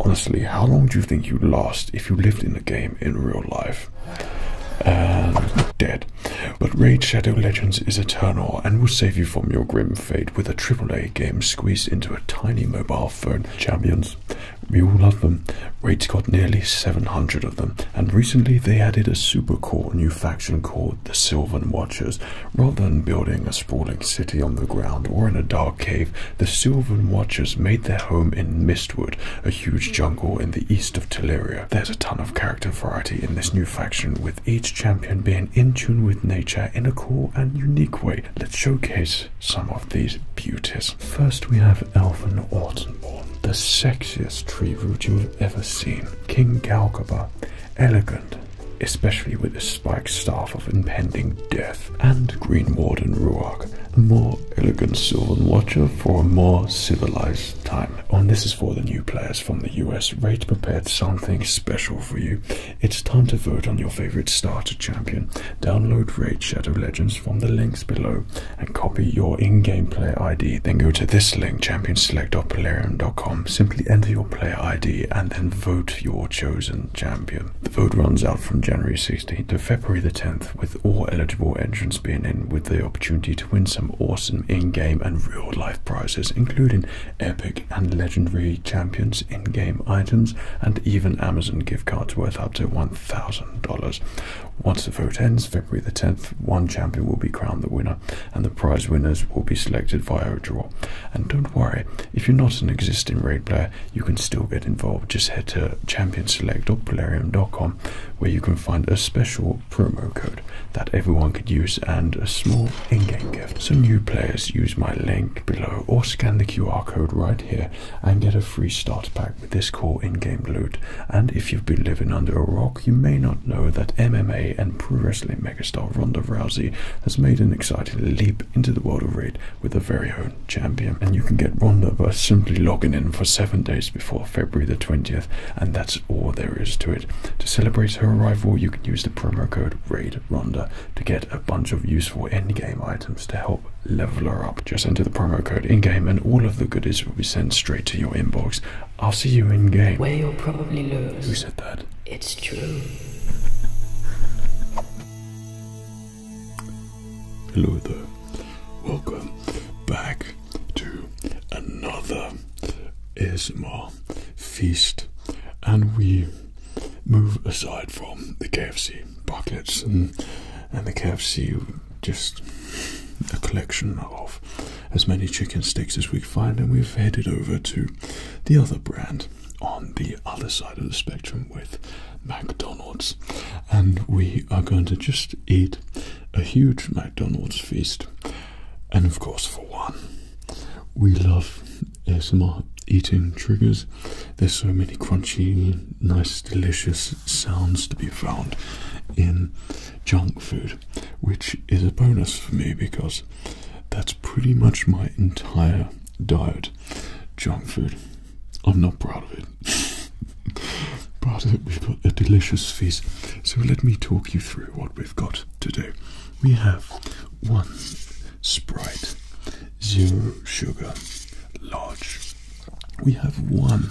Honestly, how long do you think you would last if you lived in the game in real life? And um, dead. But Raid Shadow Legends is eternal and will save you from your grim fate with a AAA game squeezed into a tiny mobile phone. Champions, we all love them. Raid's got nearly 700 of them and recently they added a super cool new faction called the Sylvan Watchers. Rather than building a sprawling city on the ground or in a dark cave, the Sylvan Watchers made their home in Mistwood, a huge jungle in the east of Teleria. There's a ton of character variety in this new faction, with each champion being in tune with nature in a cool and unique way. Let's showcase some of these beauties. First, we have Elven Autumnborn, the sexiest tree root you have ever seen. King Galgaba, elegant, especially with his spiked staff of impending death, and Green Warden Ruark, a more elegant Sylvan Watcher for a more civilized time. Oh, and this is for the new players from the US. Rate prepared something special for you. It's time to vote on your favorite starter champion. Download Raid Shadow Legends from the links below and copy your in-game player ID. Then go to this link, Champions select select.polarium.com, simply enter your player ID and then vote your chosen champion. The vote runs out from January 16th to February the 10th, with all eligible entrants being in with the opportunity to win some awesome in-game and real-life prizes, including epic and legendary champions, in-game items, and even Amazon gift cards worth up to $1,000. Once the vote ends, February the 10th, one champion will be crowned the winner and the prize winners will be selected via a draw. And don't worry, if you're not an existing raid player, you can still get involved. Just head to championselect.polarium.com where you can find a special promo code that everyone could use and a small in-game gift. So new players use my link below or scan the QR code right here and get a free start pack with this cool in-game loot. And if you've been living under a rock you may not know that MMA and pro wrestling megastar Ronda Rousey has made an exciting leap into the world of raid with her very own champion. And you can get Ronda by simply logging in for seven days before February the 20th, and that's all there is to it. To celebrate her arrival, you can use the promo code RaidRonda to get a bunch of useful endgame items to help level her up. Just enter the promo code in game, and all of the goodies will be sent straight to your inbox I'll see you in game. Where you'll probably lose. Who said that? It's true. Hello there. Welcome back to another Isma feast. And we move aside from the KFC buckets and, and the KFC just a collection of as many chicken sticks as we find, and we've headed over to the other brand on the other side of the spectrum with McDonald's. And we are going to just eat a huge McDonald's feast. And of course, for one, we love ASMR eating triggers. There's so many crunchy, nice, delicious sounds to be found in junk food which is a bonus for me because that's pretty much my entire diet junk food. I'm not proud of it. but we've got a delicious feast. So let me talk you through what we've got to do. We have one Sprite, zero sugar, large. We have one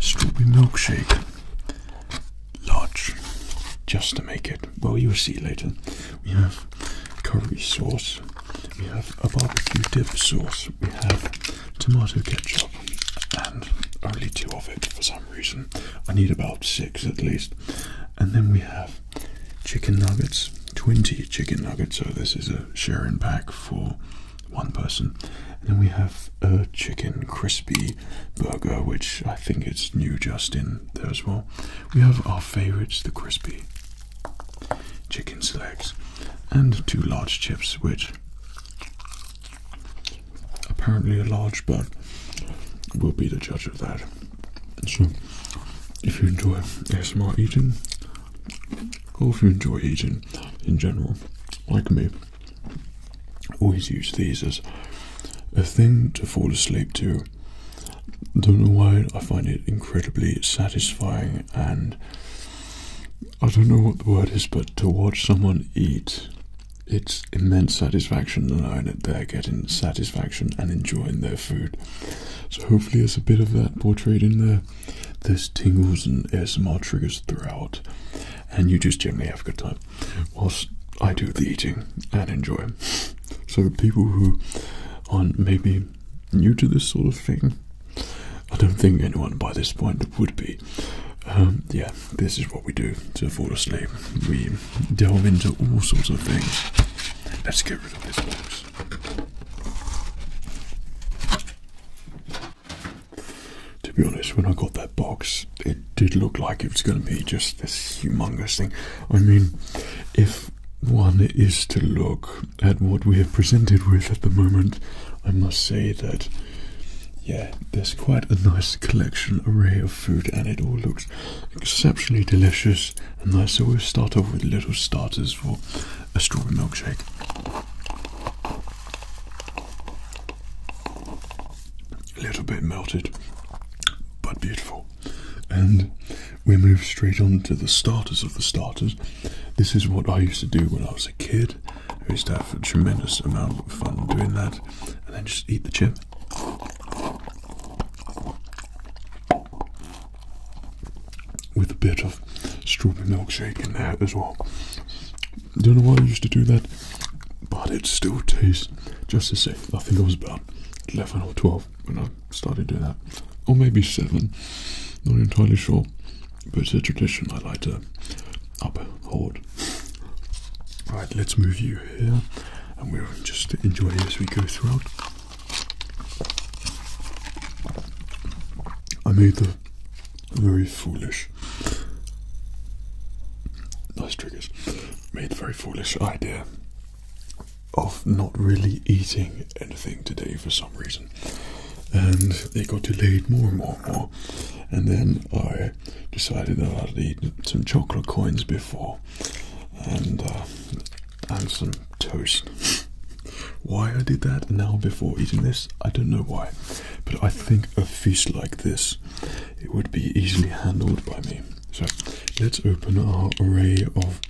strawberry milkshake, large just to make it. Well, you'll see later. We have curry sauce, we have a barbecue dip sauce, we have tomato ketchup, and only two of it for some reason. I need about six at least. And then we have chicken nuggets, 20 chicken nuggets. So, this is a sharing pack for one person. And then we have a chicken crispy burger, which I think it's new just in there as well. We have our favorites, the crispy chicken selects, and two large chips, which apparently a large, bun will be the judge of that. So, if you enjoy ASMR eating, or if you enjoy eating in general, like me, Always use these as a thing to fall asleep to. Don't know why I find it incredibly satisfying and I don't know what the word is, but to watch someone eat, it's immense satisfaction knowing that they're getting satisfaction and enjoying their food. So hopefully there's a bit of that portrayed in there. There's tingles and ASMR triggers throughout and you just generally have a good time whilst I do the eating and enjoy. So, people who are maybe new to this sort of thing, I don't think anyone by this point would be. Um, yeah, this is what we do to fall asleep. We delve into all sorts of things. Let's get rid of this box to be honest, when I got that box, it did look like it was going to be just this humongous thing. I mean, if one is to look at what we have presented with at the moment, I must say that, yeah, there's quite a nice collection array of food, and it all looks exceptionally delicious and nice. So we'll start off with little starters for a strawberry milkshake a little bit melted, but beautiful. And we move straight on to the starters of the starters. This is what I used to do when I was a kid. I used to have a tremendous amount of fun doing that, and then just eat the chip. With a bit of strawberry milkshake in there as well. Don't know why I used to do that, but it still tastes just to say, I think it was about 11 or 12 when I started doing that, or maybe 7, not entirely sure. But it's a tradition I like to uphold. Right, let's move you here, and we'll just enjoy as we go throughout. I made the very foolish foolish. Nice triggers. Made the very foolish idea of not really eating anything today for some reason. And it got delayed more and more and more. And then I decided that I'd eat some chocolate coins before and, uh, some toast. why I did that now before eating this, I don't know why. But I think a feast like this it would be easily handled by me. So let's open our array of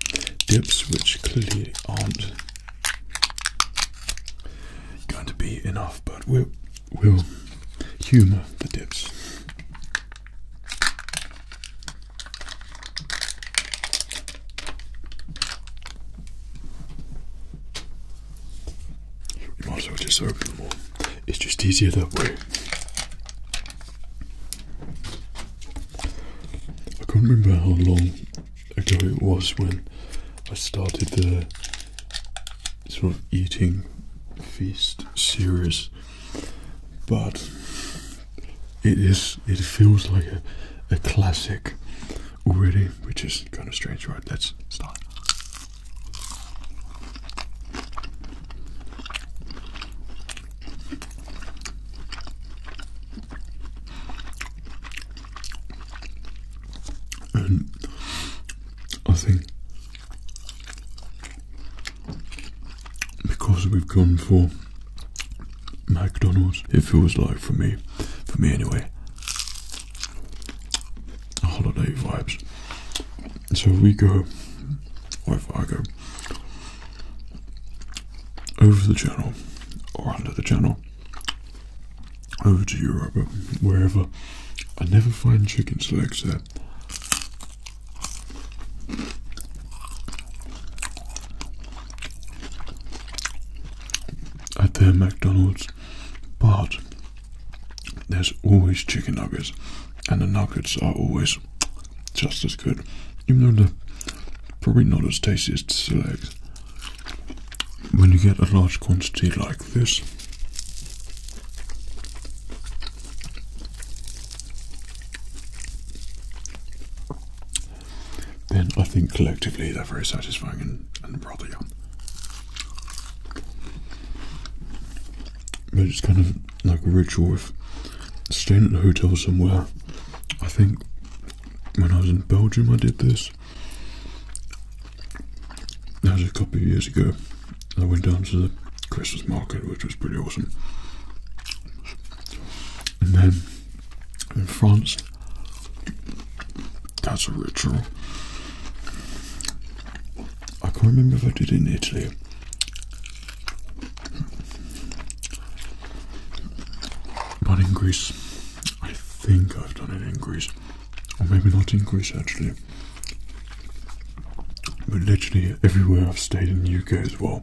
dips, which clearly aren't going to be enough, but we'll, we'll humour the dips. We might as just open them all. It's just easier that way. I can't remember how long ago it was when I started the sort of eating feast series, but it is it feels like a, a classic already, which is kind of strange, right? Let's start. And I think because we've gone for McDonald's, it feels like for me, for me anyway, holiday vibes. So we go, or if I go over the channel or under the channel, over to Europe, wherever, I never find chicken legs there. At their McDonald's, but there's always chicken nuggets, and the nuggets are always just as good, even though they're probably not as tasty as the select. When you get a large quantity like this, then I think collectively they're very satisfying and, and rather yum but it's kind of like a ritual of staying at the hotel somewhere. I think when I was in Belgium, I did this. That was a couple of years ago. I went down to the Christmas market, which was pretty awesome. And then in France, that's a ritual. I can't remember if I did in Italy. But in Greece, I think I've done it in Greece. Or maybe not in Greece actually. But literally everywhere I've stayed in the UK as well.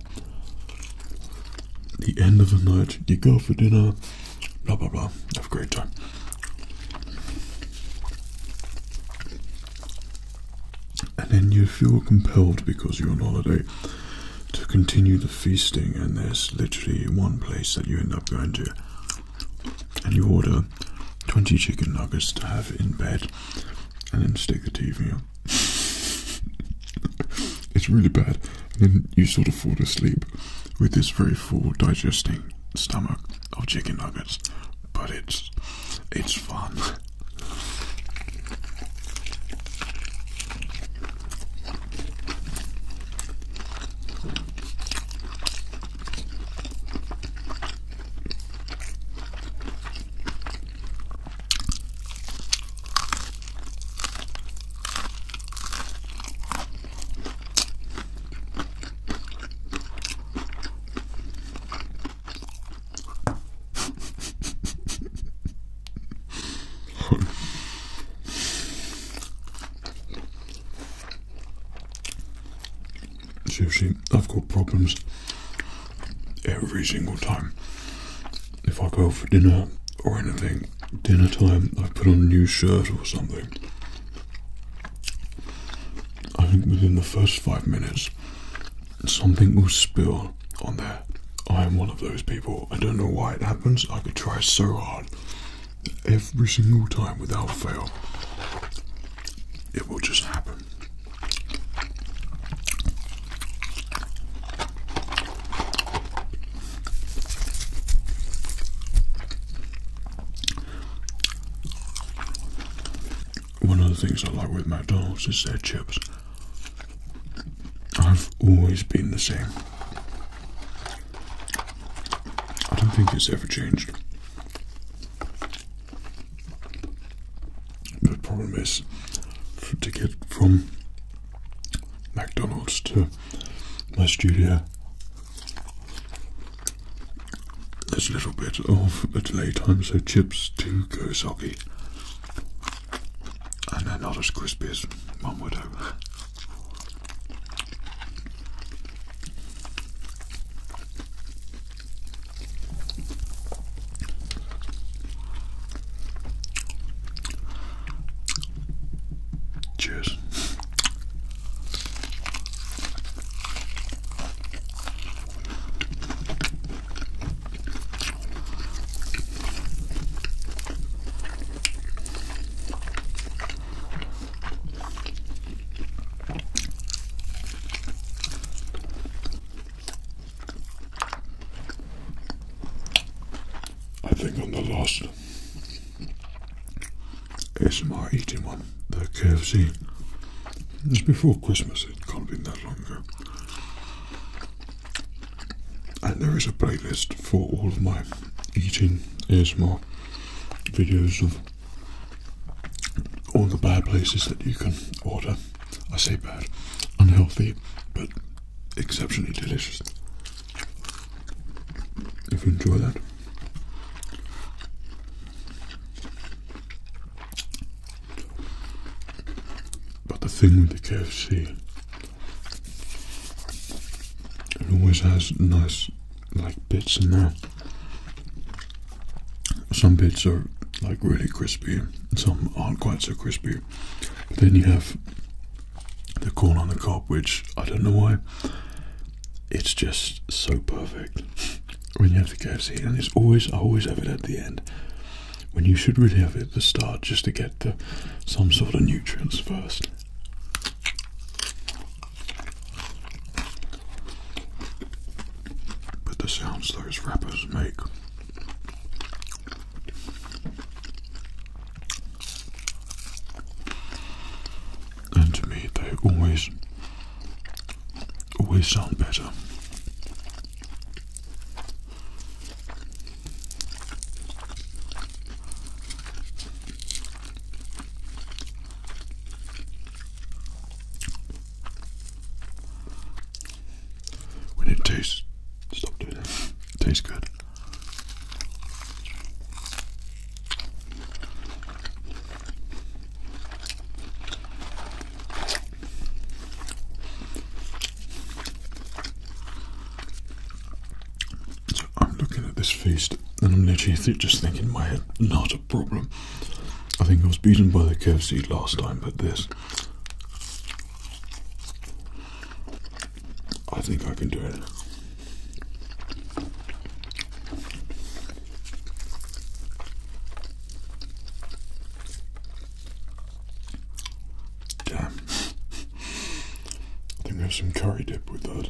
The end of the night, you go for dinner, blah blah blah, have a great time. And then you feel compelled because you're on holiday to continue the feasting, and there's literally one place that you end up going to, and you order 20 chicken nuggets to have in bed, and then stick the TV on. it's really bad, and then you sort of fall asleep with this very full, digesting stomach of chicken nuggets but it's it's fun. Seriously, I've got problems every single time. If I go for dinner or anything, dinner time, I put on a new shirt or something. I think within the first five minutes, something will spill on there. I am one of those people. I don't know why it happens. I could try so hard. Every single time without fail, it will just happen one of the things I like with McDonald's is their chips. I've always been the same. I don't think it's ever changed. The problem is to get from McDonald's to my studio there's a little bit of a delay time, so chips do go soggy. And they're not as crispy as one would hope. Cheers. I think on the last ASMR eating one, the KFC it before Christmas, it can't be that long ago. And there is a playlist for all of my eating ASMR videos of all the bad places that you can order. I say bad, unhealthy, but exceptionally delicious. If you enjoy that. But the thing with the KFC, it always has nice like bits in there. Some bits are like really crispy, some aren't quite so crispy. then you have the corn on the cob, which I don't know why, it's just so perfect. when you have the KFC, and it's always I always have it at the end. When you should really have it at the start, just to get the some sort of nutrients first. But the sounds those wrappers make. And to me, they always always sound better. When it tastes, stop doing it. it good. I'm looking at this feast and I'm literally just thinking my head, not a problem. I think I was beaten by the KFC last time, but this. I think I can do it. Damn. I think there's some curry dip with that.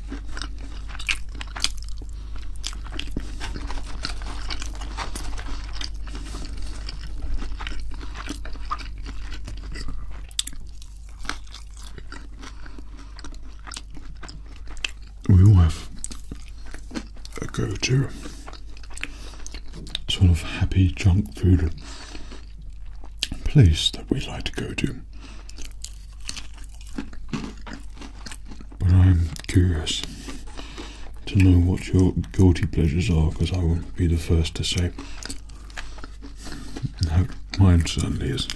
We all have a go to sort of happy junk food place that we like to go to. But I'm curious to know what your guilty pleasures are because I won't be the first to say. No, mine certainly is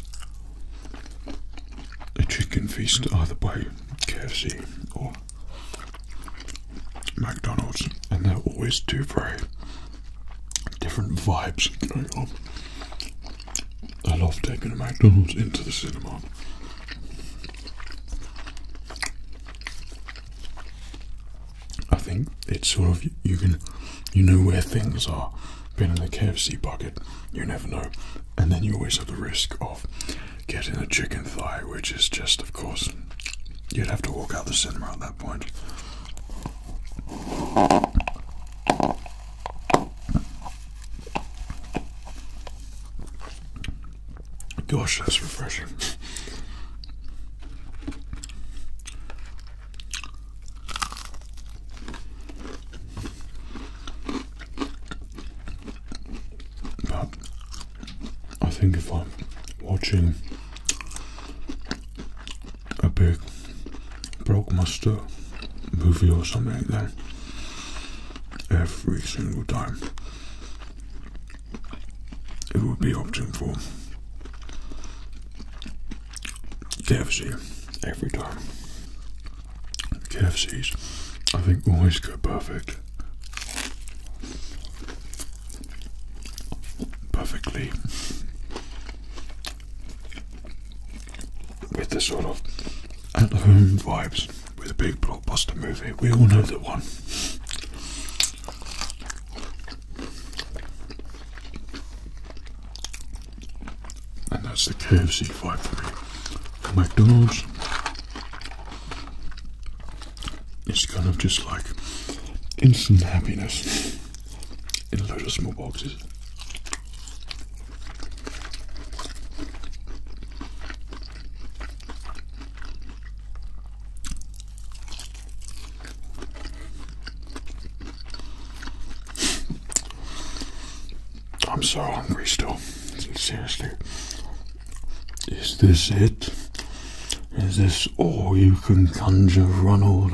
a chicken feast either by KFC or McDonald's, and they always do very different vibes going on. I love taking a McDonald's into the cinema. I think it's sort of you can you know where things are. Being in a KFC bucket, you never know, and then you always have the risk of getting a chicken thigh, which is just, of course, you'd have to walk out the cinema at that point. Gosh, that's refreshing. But I think if I'm watching a big Broke Master movie or something like that. Every single time. It would be opting for KFC every time. KFCs, I think, always go perfect. Perfectly with the sort of at home vibes with a big blockbuster movie. We all know the one. And that's the KFC vibe for me. The McDonald's is kind of just like instant happiness in a load small boxes. I'm so hungry still. Seriously. Is this it? Is this all you can conjure, Ronald?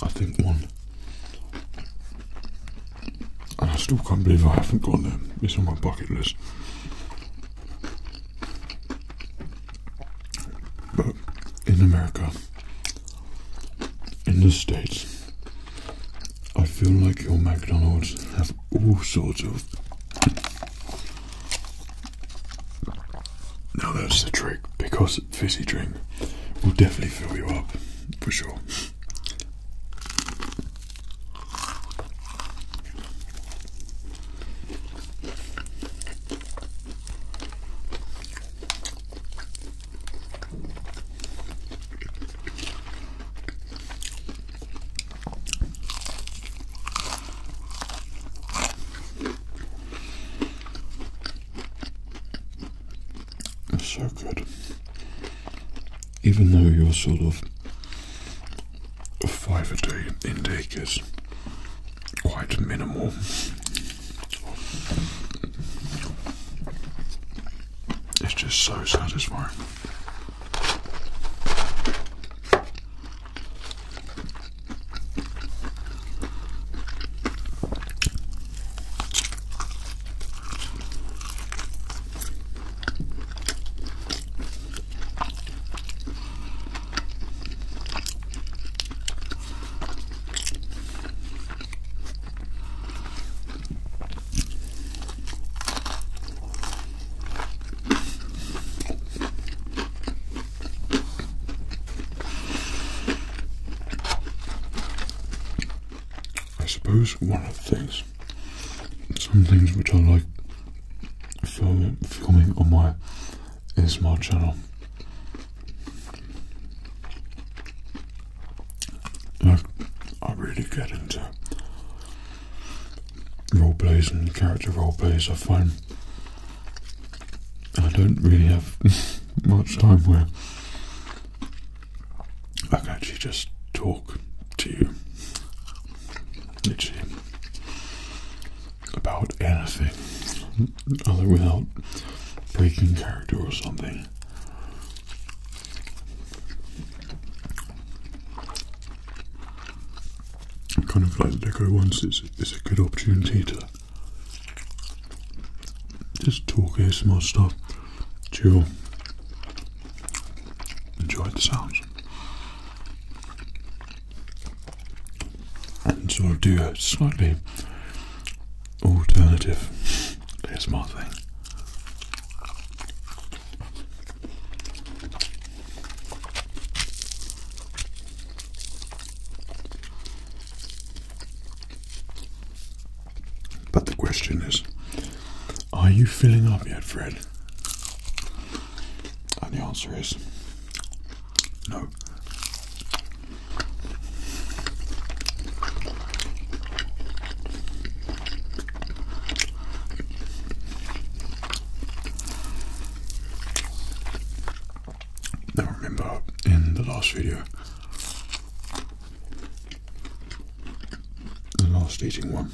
I think one, and I still can't believe I haven't got there. It's on my bucket list. But in America, in the States, I feel like your McDonald's have all sorts of. Now that's the trick because fizzy drink will definitely fill you up for sure. It's so good. Even though you're sort of of five a day intake is quite minimal. It's just so satisfying. I suppose one of the things, some things which I like filming on my ASMR channel. And I, I really get into role plays and character role plays. I find I don't really have much time where I can actually just talk to you. Literally, about anything other without breaking character or something. Kind of like go once is is a good opportunity to just talk ASMR stuff, chill, enjoy the sounds and sort of do a slightly alternative ASMR thing. But the question is, are you filling up yet, Fred? And the answer is no. remember in the last video, the last eating one,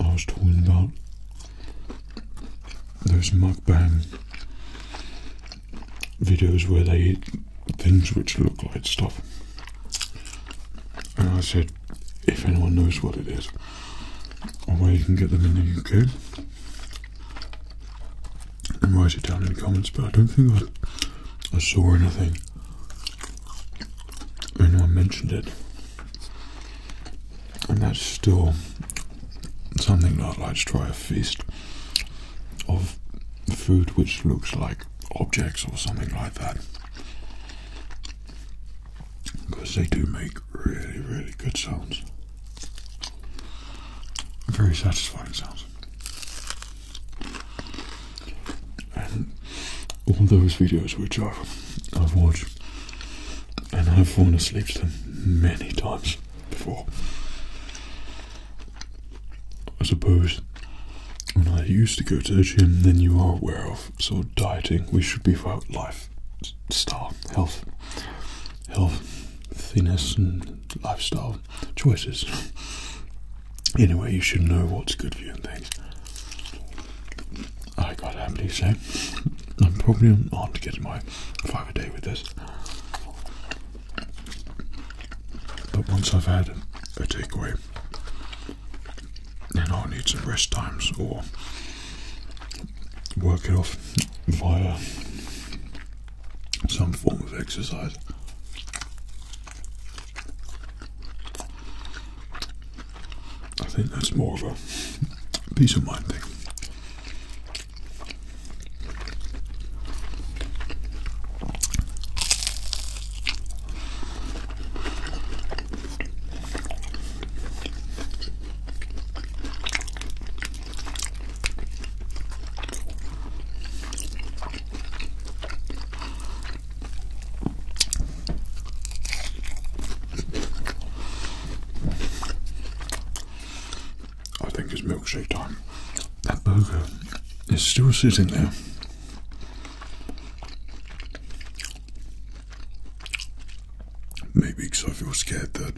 I was talking about those mukbang videos where they eat things which look like stuff. And I said, if anyone knows what it is or where you can get them in the UK, and write it down in the comments. But I don't think I, saw anything. Anyone mentioned it. And that's still something that I like to try a feast of food which looks like objects or something like that. Because they do make really, really good sounds. Very satisfying sounds. And all those videos which I've watched and I've fallen asleep to many times before. I suppose when I used to go to the gym, then you are aware of sort of dieting. We should be about life, style, health, health, thinness, and lifestyle choices. Anyway, you should know what's good for you and things. I gotta happily say, I'm probably on to getting my five a day with this. But once I've had a takeaway, then I'll need some rest times or work it off via some form of exercise. I think that's more of a peace of mind thing. I think it's milkshake time. That burger is still sitting there. Maybe because I feel scared that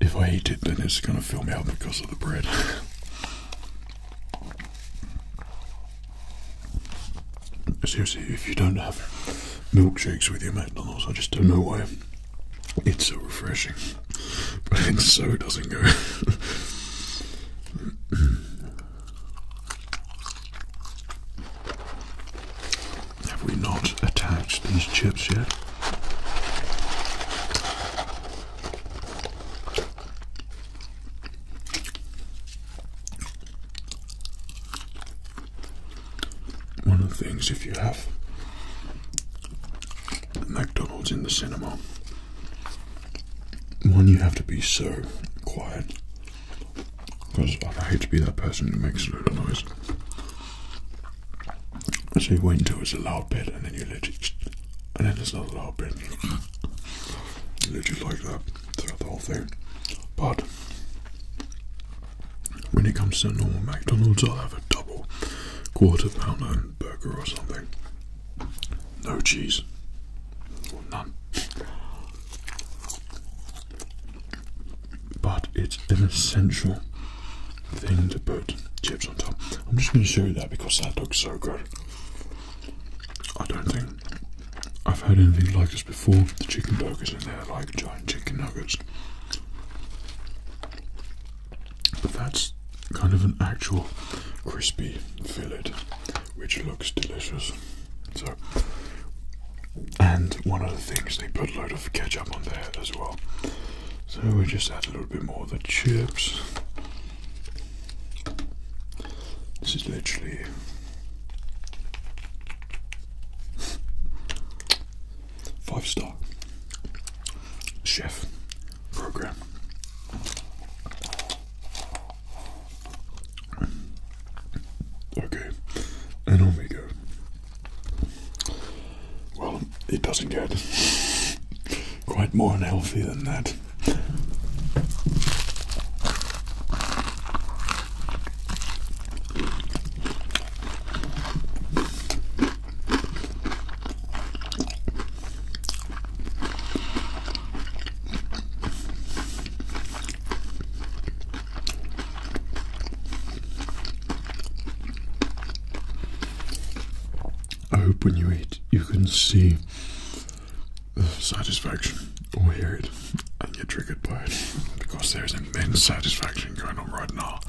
if I eat it, then it's going to fill me up because of the bread. Seriously, if you don't have milkshakes with your McDonald's, I just don't know why it's so refreshing, but it so doesn't go. Have we not attached these chips yet? One of the things, if you have McDonald's in the cinema, one, you have to be so quiet because I hate to be that person who makes a lot of noise. So you wait until it's a loud bit and then you let it, and then it's not a loud bit. and Literally like that throughout the whole thing. But when it comes to normal McDonald's, I'll have a double quarter pounder burger or something. No cheese. Or none. But it's an essential thing to put chips on top. I'm just going to show you that because that looks so good. I don't think I've had anything like this before. The chicken nuggets in there like giant chicken nuggets. But that's kind of an actual crispy fillet, which looks delicious. So, and one of the things they put a load of ketchup on there as well. So we just add a little bit more of the chips. This is literally Five star chef program. Okay, and on go. Well, it doesn't get quite more unhealthy than that. I hope when you eat, you can see satisfaction or hear it and you're triggered by it because there's immense satisfaction going on right now.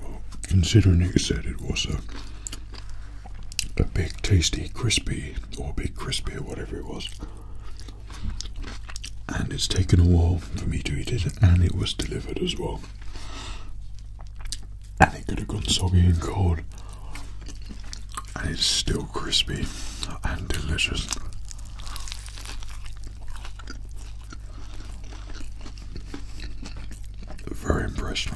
Well, considering it said it was a a big tasty crispy or big crispy or whatever it was. And it's taken a while for me to eat it, and it was delivered as well. And it could have gone soggy and cold, and it's still crispy and delicious. Very impressed.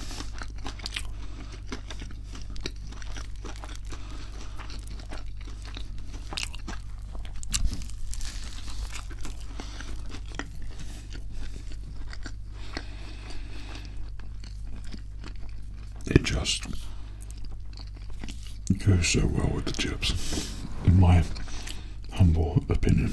It just goes so well with the chips, in my humble opinion.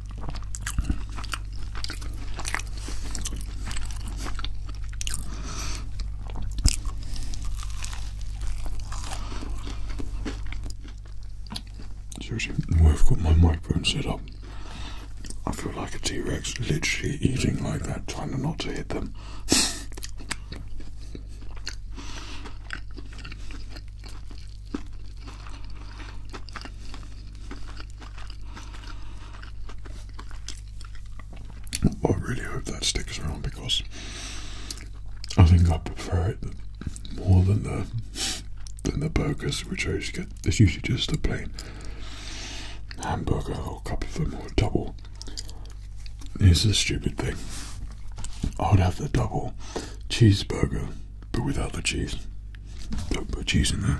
Seriously, I've got my microphone set up, I feel like a T Rex literally eating like that, trying not to hit them. I really hope that sticks around because I think I prefer it more than the than the burgers, which I usually get. It's usually just a plain hamburger or a couple of them or a double. Here's the stupid thing. I would have the double cheeseburger but without the cheese. Don't put cheese in there.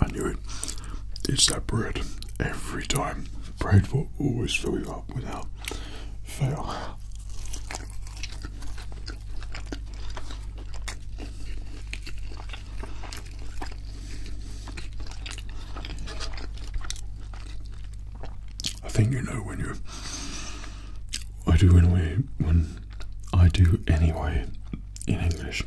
I knew it. It's that bread every time. Bread will always fill you up without fail. I think you know when you I do anyway, when I do anyway in English,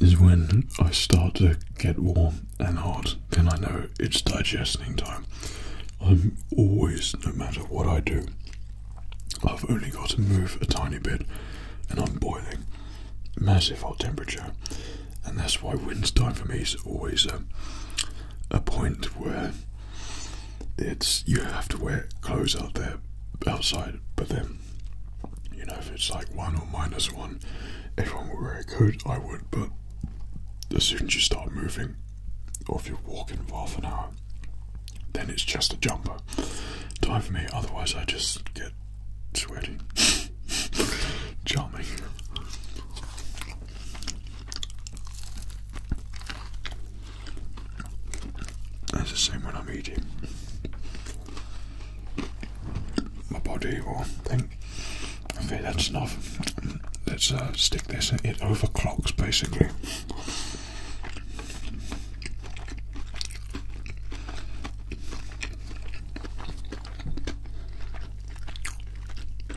is when I start to get warm and hot, then I know it's digesting time. I'm always, no matter what I do, I've only got to move a tiny bit and I'm boiling. Massive hot temperature and that's why wins time for me is always a, um, a point where it's you have to wear clothes out there outside, but then you know if it's like one or minus one, everyone will wear a coat. I would, but as soon as you start moving, or if you're walking for half an hour, then it's just a jumper. Time for me, otherwise I just get sweaty. Charming. That's the same when I'm eating. My body will think, okay, that's enough. Let's uh, stick this. It overclocks basically.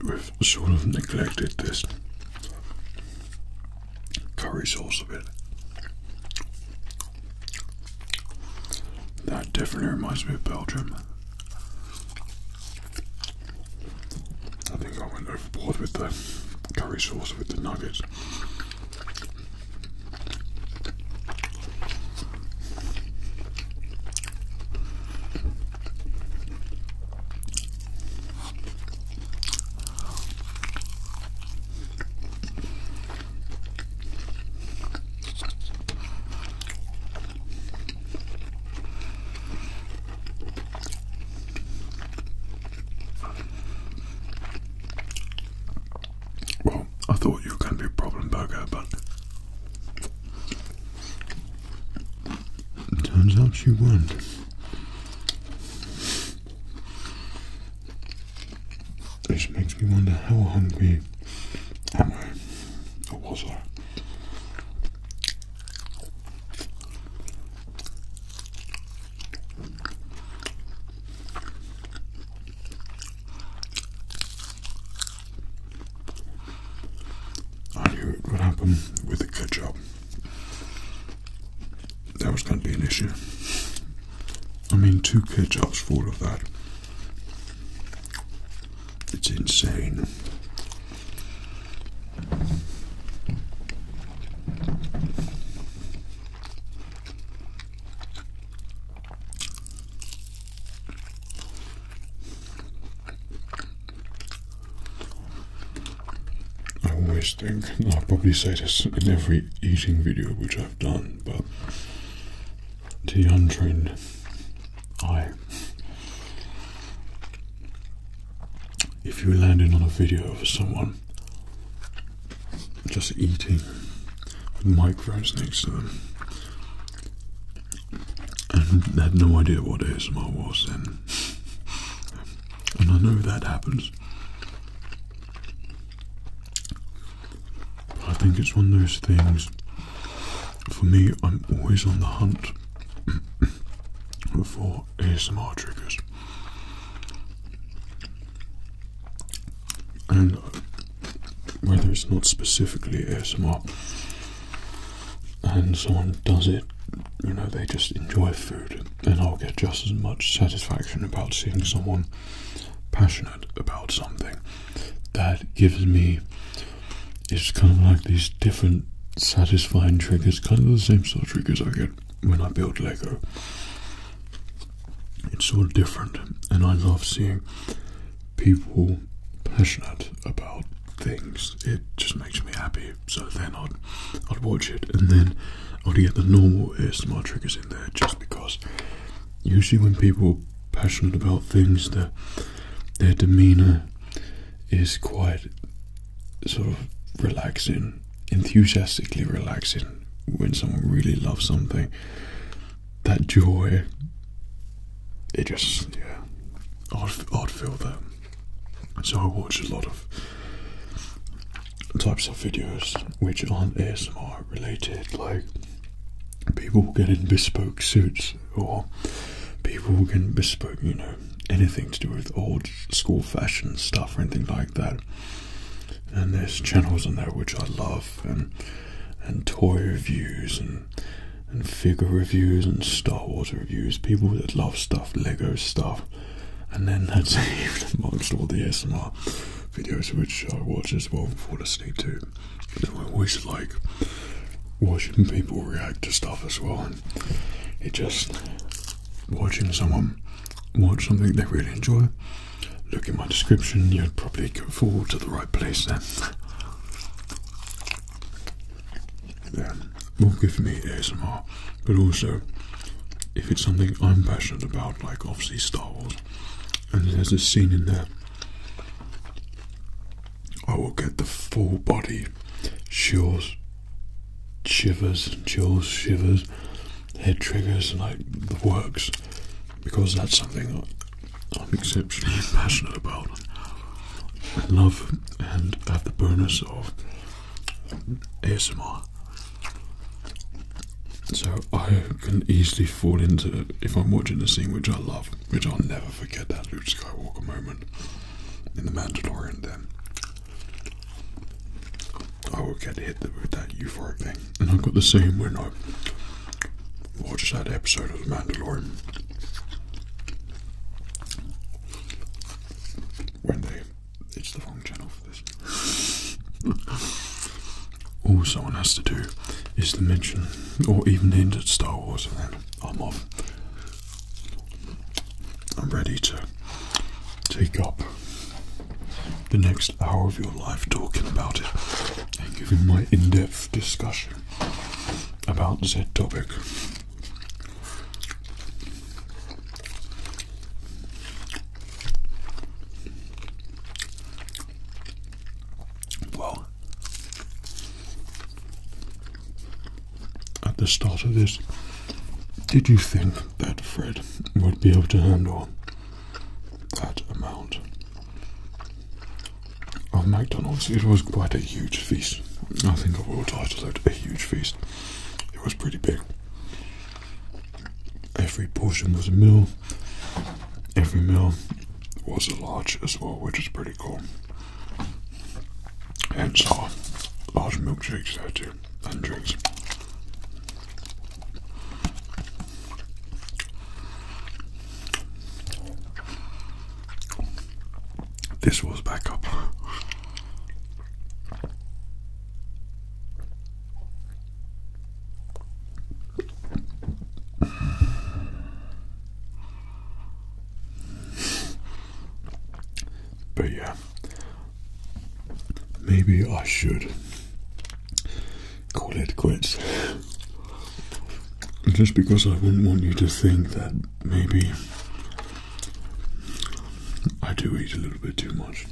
We've sort of neglected this curry sauce a bit. That definitely reminds me of Belgium. I think I went overboard with the curry sauce with the nuggets. Well, I thought you were going to be a problem burger, but turns out you weren't. This makes me wonder how hungry am I, or was I? I knew it would happen with the ketchup. That was going to be an issue. I mean, two ketchups full of that. It's insane. I always think, I'll probably say this in every eating video which I've done, but to the untrained eye. If you're landing on a video of someone just eating with microphones next to them and had no idea what ASMR was then, and I know that happens. But I think it's one of those things for me, I'm always on the hunt for ASMR triggers. And whether it's not specifically ASMR and someone does it, you know, they just enjoy food, and I'll get just as much satisfaction about seeing someone passionate about something that gives me it's kind of like these different satisfying triggers, kind of the same sort of triggers I get when I build Lego. It's all different, and I love seeing people passionate about things. It just makes me happy. So then I'd I'd watch it, and then I'd get the normal ASMR triggers in there, just because. Usually, when people passionate about things that their demeanor is quite sort of relaxing, enthusiastically relaxing when someone really loves something. That joy, it just, yeah, I'd, I'd feel that. So I watch a lot of types of videos which aren't ASMR related, like people will get in bespoke suits or people will get in bespoke, you know, anything to do with old school fashion stuff or anything like that. And there's channels on there which I love and and toy reviews and and figure reviews and Star Wars reviews, people that love stuff, Lego stuff. And then that's even amongst all the ASMR videos which I watch as well before fall asleep to. But I always like watching people react to stuff as well, and it just watching someone watch something they really enjoy. Look at my description, you'd probably go forward to the right place then. yeah, will give me ASMR, but also if it's something I'm passionate about, like obviously Star Wars, and there's a scene in there I will get the full body shivers, shivers and chills, shivers, head triggers, like the works, because that's something I'm exceptionally passionate about. love and have the bonus of ASMR. So I can easily fall into if I'm watching a scene which I love, which I'll never forget that Luke Skywalker moment in The Mandalorian then. I will get hit with that euphoric thing. And I have got the same when I watch that episode of The Mandalorian. When they it's the wrong channel for this. All someone has to do is to mention or even hint at Star Wars and then I'm on. I'm ready to take up the next hour of your life talking about it and giving my in depth discussion about said topic. Well, at the start of this, did you think that Fred would be able to handle that amount of McDonald's? It was quite a huge feast. I think I will title it a huge feast. It was pretty big. Every portion was a meal. Every meal was a large as well, which is pretty cool. And so, large milkshakes there too, and drinks. This was backup. But yeah, maybe I should call it quits. Just because I wouldn't want you to think that maybe I do eat a little bit too much.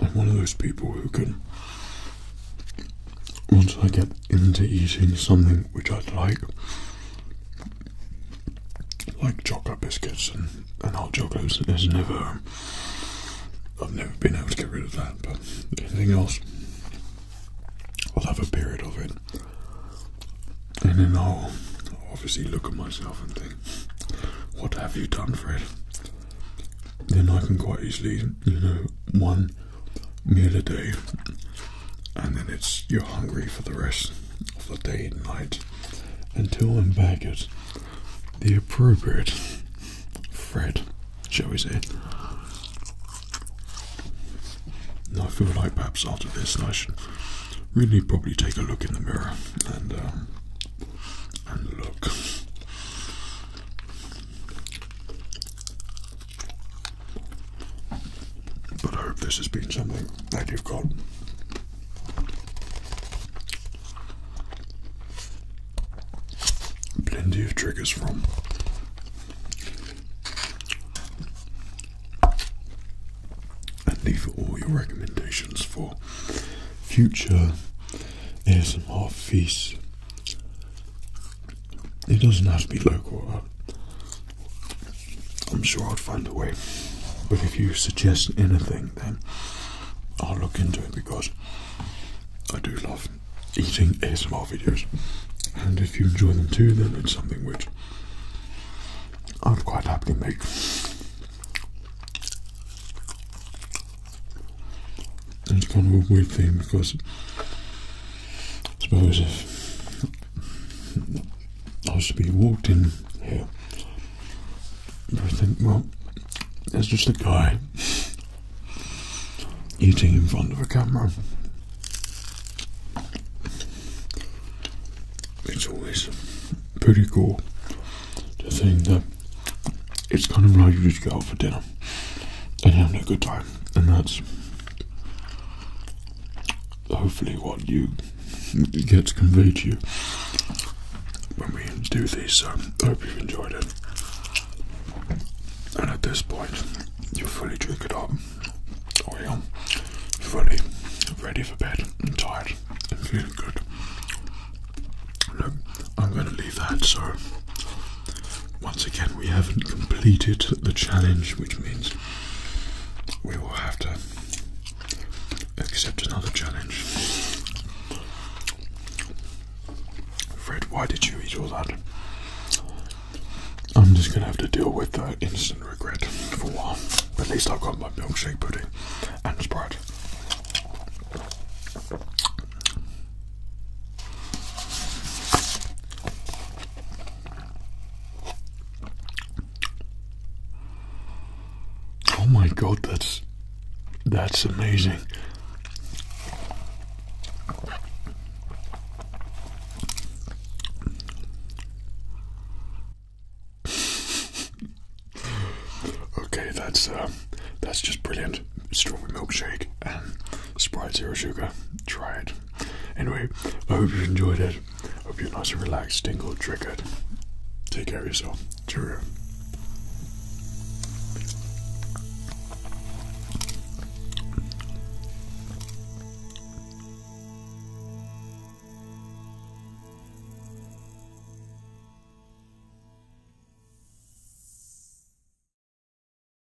I'm one of those people who can once I get into eating something which I'd like, like chocolate biscuits and, and hot chocolates, there's never, I've never been able to get rid of that, but anything else, I'll have a period of it. And then I'll obviously look at myself and think, what have you done, for it?" Then I can quite easily, you know, one, meal a day, and then it's you're hungry for the rest of the day and night until I'm back at the appropriate Fred, shall we say. I feel like perhaps after this I should really probably take a look in the mirror and um, and look. But I hope this has been something that you've got. Plenty of triggers from. And leave all your recommendations for future ASMR feasts it doesn't have to be local. Uh, I'm sure I'll find a way. But if you suggest anything, then I'll look into it because I do love eating ASMR videos. And if you enjoy them too, then it's something which I'd quite happily make it's kind of a weird thing because I suppose if I was to be walked in here, I think, well, it's just a guy eating in front of a camera. It's always pretty cool to think that it's kind of like you just go out for dinner and having a good time, and that's hopefully what you gets conveyed to you when we do this. So um, I hope you've enjoyed it. And at this point, you're fully drink it up, or oh, you're fully ready for bed I'm tired I'm feeling good. Look, I'm going to leave that so once again, we haven't completed the challenge, which means we will have to accept another challenge. Fred, why did you eat all that? I'm just gonna have to deal with the instant regret for a while. At least I've got my milkshake pudding and Sprite. Oh my god, that's that's amazing. okay, that's uh, that's just brilliant. Strawberry milkshake and um, Sprite Zero Sugar. Try it. Anyway, I hope you enjoyed it. Hope you're nice and relaxed, tingled, triggered. Take care of yourself. Cheerio.